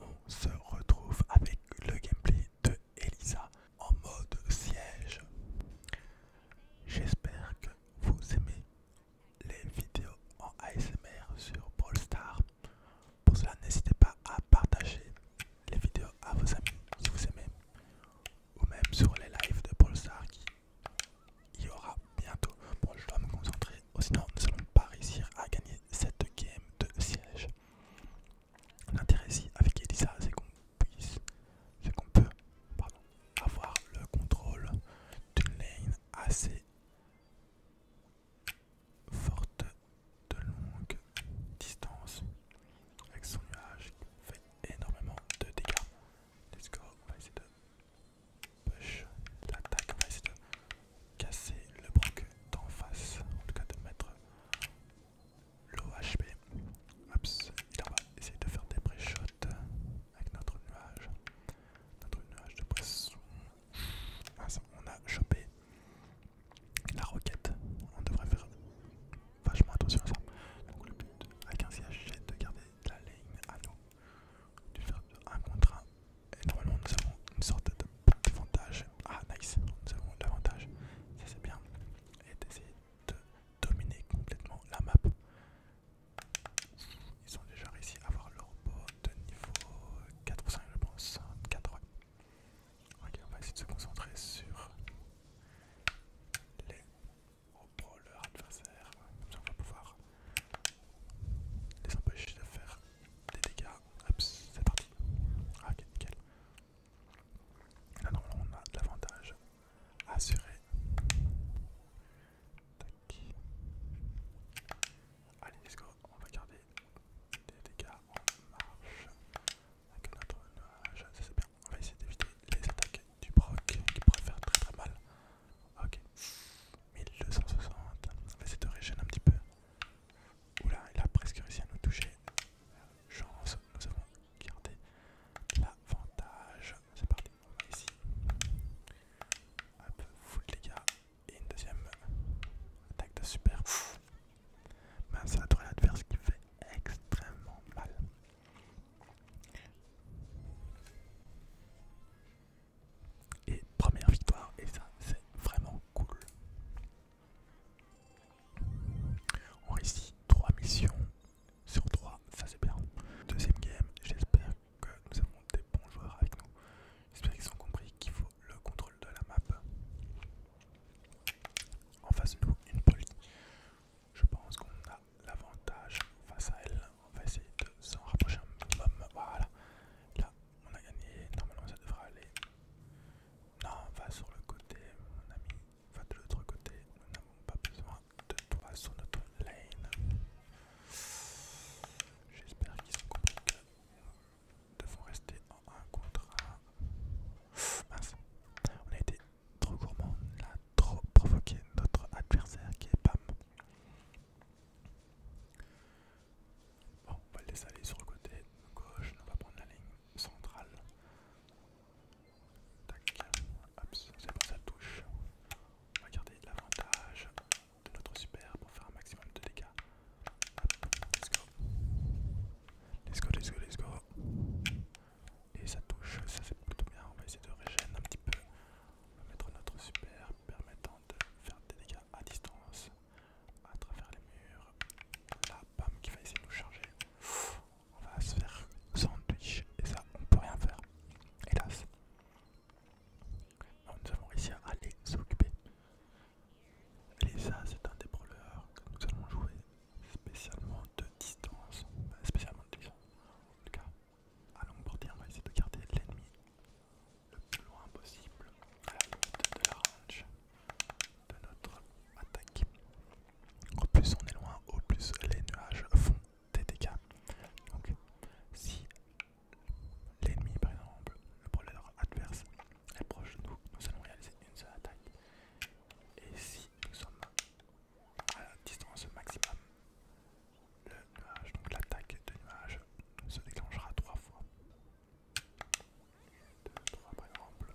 On se retrouve avec le gameplay de Elisa en mode siège. J'espère que vous aimez les vidéos en ASMR sur Brawl Star. Pour cela, n'hésitez pas à partager les vidéos à vos amis si vous aimez. Ou même sur les lives de Brawl qui y aura bientôt. Bon, je dois me concentrer, sinon nous allons pas réussir à gagner cette game de siège. L'intérêt ici avec Elisa, c'est qu'on puisse, c'est qu'on peut avoir le contrôle d'une lane assez forte de longue distance avec son nuage qui fait énormément de dégâts. Let's go, on de push l'attaque, de casser le broc d'en face, en tout cas de mettre l'OHP. Et on va essayer de faire des pré avec notre nuage. Notre nuage de pression ah, on a chopé la roquette. On devrait faire vachement attention à ça. Donc le but avec un siège c'est de garder la ligne à nous. De faire un contre un et normalement, nous avons une sorte d'avantage. Ah, nice, nous avons l'avantage. Ça, c'est bien. Et d'essayer de dominer complètement la map. Ils ont déjà réussi à avoir leur robot de niveau 4 ou 5, je pense. 4, ouais. Ok, on va essayer de se concentrer sur les robots adversaires. Comme ça, on va pouvoir les empêcher de faire des dégâts c'est parti. Ah, ok, nickel. Là, ah normalement, on a l'avantage assuré. Tac. Allez, let's go. On va garder des dégâts en marche avec notre c'est bien. On va essayer d'éviter les attaques du broc qui pourrait faire très très mal. Ok. 1260. On va essayer de régénérer un petit peu. Oula, il a presque réussi à nous toucher. Chance, nous avons gardé l'avantage. C'est parti, on va ici. peu full les gars. Et une deuxième attaque de super. Mince, la tourelle adverse qui fait extrêmement mal. Et première victoire, et ça c'est vraiment cool. On réussit 3 missions sur 3, ça c'est bien. Deuxième game, j'espère que nous avons des bons joueurs avec nous. J'espère qu'ils ont compris qu'il faut le contrôle de la map. En face de nous, une poly. Je pense qu'on a l'avantage face à elle. On va essayer de s'en rapprocher un minimum. Voilà. On a gagné, normalement ça devrait aller. Non, va sur le côté, mon ami. Va de l'autre côté, nous n'avons pas besoin de toi sur notre lane. J'espère qu'ils sont compris nous devons rester en 1 contre 1. on a été trop gourmand, on a trop provoqué notre adversaire qui est PAM. Bon, on va le laisser sur le côté gauche, on va prendre la ligne centrale. Tac, hop, c'est bon, ça touche. On va garder l'avantage de notre super pour faire un maximum de dégâts. Hop, let's go. Let's go, let's go, let's go. Et ça touche, ça fait plutôt bien. On va essayer de régénérer un petit peu. On va mettre notre super permettant de faire des dégâts à distance à travers les murs. la bam, qui va essayer de nous charger. On va se faire sandwich et ça, on peut rien faire. Hélas. nous avons réussi à aller s'occuper. ça, c'est un des que nous allons jouer spécialement de distance. spécialement de distance. En tout cas, à longue portée, on va essayer de garder l'ennemi le plus loin possible à la limite de la range de notre attaque. Au plus on est loin, au plus les nuages font des dégâts. Donc si l'ennemi par exemple, le brawler adverse est proche de nous, nous allons réaliser une seule attaque. Et si nous sommes à la distance maximum, le nuage, donc l'attaque de nuages se déclenchera trois fois. 3 par exemple.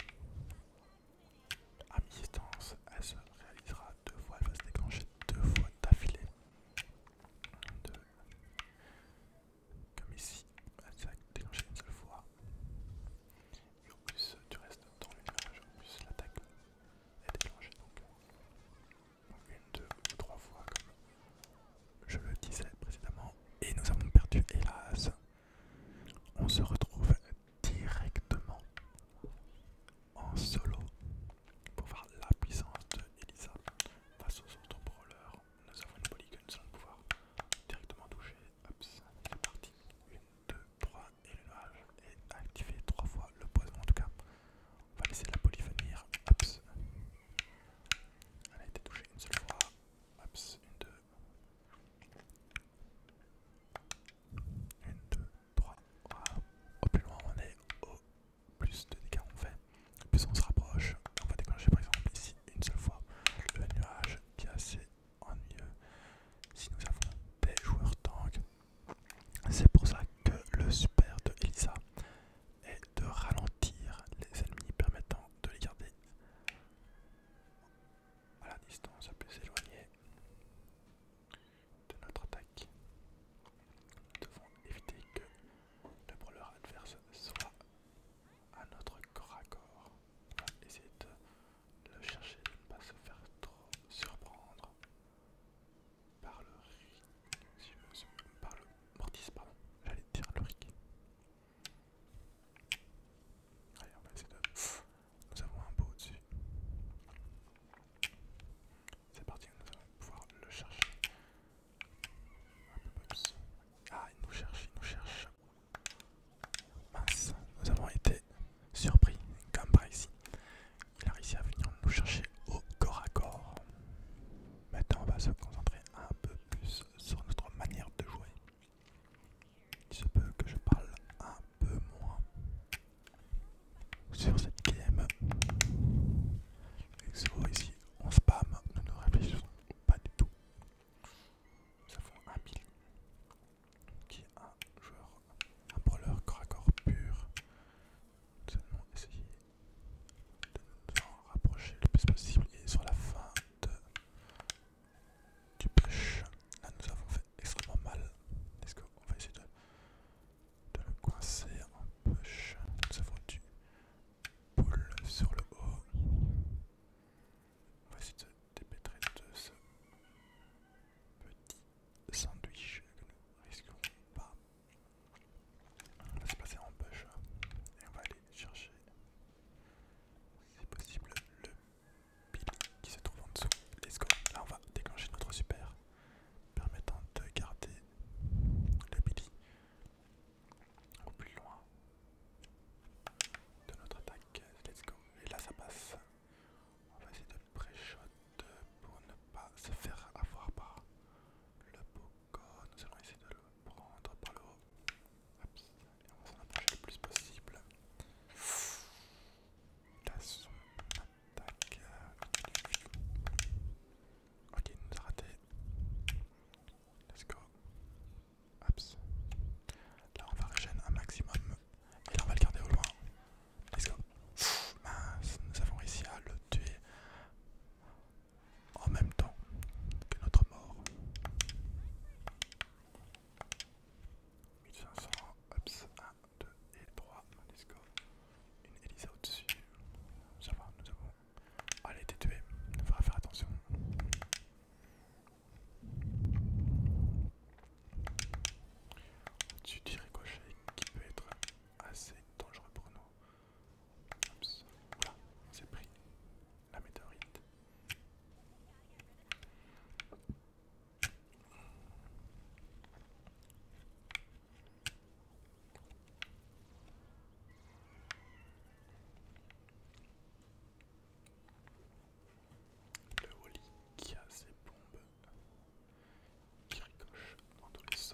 À mi-distance, elle se réalisera deux fois, elle va se déclencher deux fois d'affilée. Comme ici, elle se déclencher une seule fois. Et en plus tu restes dans l'image, En plus l'attaque est déclenchée. Donc, euh, une, deux ou trois fois, comme je le disais précédemment. Et nous avons perdu, hélas, on se retrouve directement en solo pour voir la puissance de Elisa face aux autres brawlers. Nous avons une nous allons pouvoir directement toucher. Hop, c'est parti. 1, 2, 3 et le nuage est activé 3 fois le poison en tout cas. On va laisser la poly venir. Hop. Elle a été touchée une seule fois. Hop, une, deux, 1, 2, 3, Au plus loin on est, au plus de dégâts on fait. Plus on se rapproche, on va déclencher par exemple ici une seule fois le nuage qui est assez ennuyeux. Si nous avons des joueurs tank, c'est pour ça que le super de Elisa est de ralentir les ennemis permettant de les garder à la distance la plus éloignée de notre attaque. Nous devons éviter que le brûleur adverse soit à notre corps à corps. On essayer de le chercher, de ne pas se faire trop surprendre par le rick, par le mortis, pardon, j'allais dire le rick. Allez, on va essayer de. Nous avons un pot au-dessus. C'est parti, nous allons pouvoir le chercher. Ah, il nous cherche, il nous cherche. Mince, nous avons été surpris, comme par ici. Il a réussi à venir nous chercher au corps à corps. Maintenant, on va se concentrer un peu plus sur notre manière de jouer il se peut que je parle un peu moins sur cette game. ici, on spam, nous ne réfléchissons pas du tout. Nous avons un mille. qui est un joueur, un brawler corps pur. Nous allons essayer de nous en rapprocher le plus possible et sur la fin de du push. Là nous avons fait extrêmement mal. Est-ce qu'on va essayer de, le coincer en push Nous avons du pull sur le haut. On va essayer de dépêtrer de ce petit sandwich que nous risquons pas. On va se placer en push et on va aller chercher c'est possible, le Billy qui se trouve en dessous. Let's go. Là, on va déclencher notre super permettant de garder le Billy au plus loin de notre attaque. Let's go. Et là, ça passe. On va essayer de pré-shot pour ne pas se faire avoir par le Poco. Nous allons essayer de le prendre par le haut. et on va s'en approcher le plus possible. Là, son attaque. Ok, il nous a raté. Let's go. Là, on va régénérer un maximum. Et là, on va le garder au loin. Let's go. mince, nous avons réussi à le tuer en même temps que notre mort. 1500, 1, 2 et 3, Une Elisa au-dessus. Ça va, nous avons. Allez, t'es tué, il faudra faire attention. Tu du ricochet qui peut être assez dangereux pour nous. Oula, voilà, on pris la météorite. Le holly qui a ses bombes qui ricochent dans tous les sens.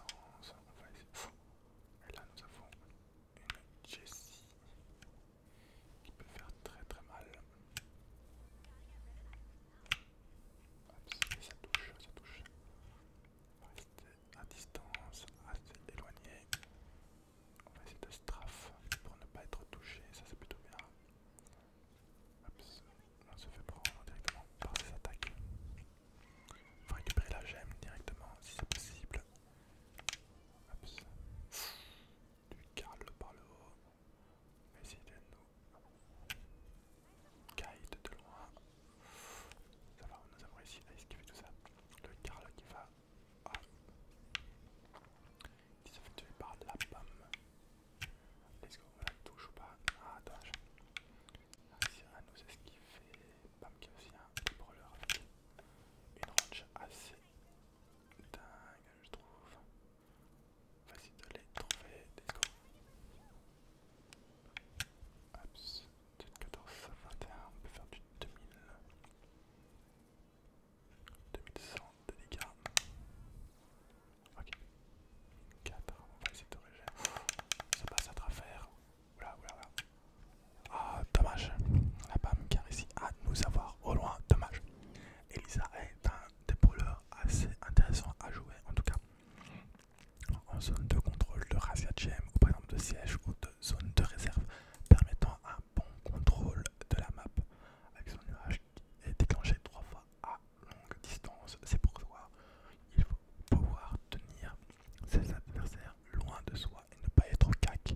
Et là nous avons une Jessie qui peut faire très très mal. Hop, ça touche, ça touche. rester à distance, assez éloigné. On va essayer de strafe pour ne pas être touché, ça c'est plutôt bien. on se fait prendre directement par ces attaques. On va récupérer la gemme directement si c'est possible du carle par le haut. Mais essayer de nous. guide de loin. Ça va, nous avons réussi à esquiver tout ça. Le carle qui va. hop, ah. Qui se fait tuer par la pomme. ce qu'on on la touche ou pas Ah, dommage. c'est à nous esquiver. Bam, qui a aussi un brawler avec une range assez dingue, je trouve. Facile de les trouver, des go. Abs, 14 21, on peut faire du 2000. 2100 de dégâts. Ok. 4, on va essayer de régler. Ça passe à travers. Oula, oula, oula. Ah, dommage. On n'a pas Mkar ici à nous avoir au loin. Dommage. Elisa est un dépôleur assez intéressant à jouer, en tout cas en zone de contrôle de Razia ou par exemple de siège ou de zone de réserve, permettant un bon contrôle de la map avec son nuage qui est déclenché trois fois à longue distance. C'est pour pourquoi il faut pouvoir tenir ses adversaires loin de soi et ne pas être au cac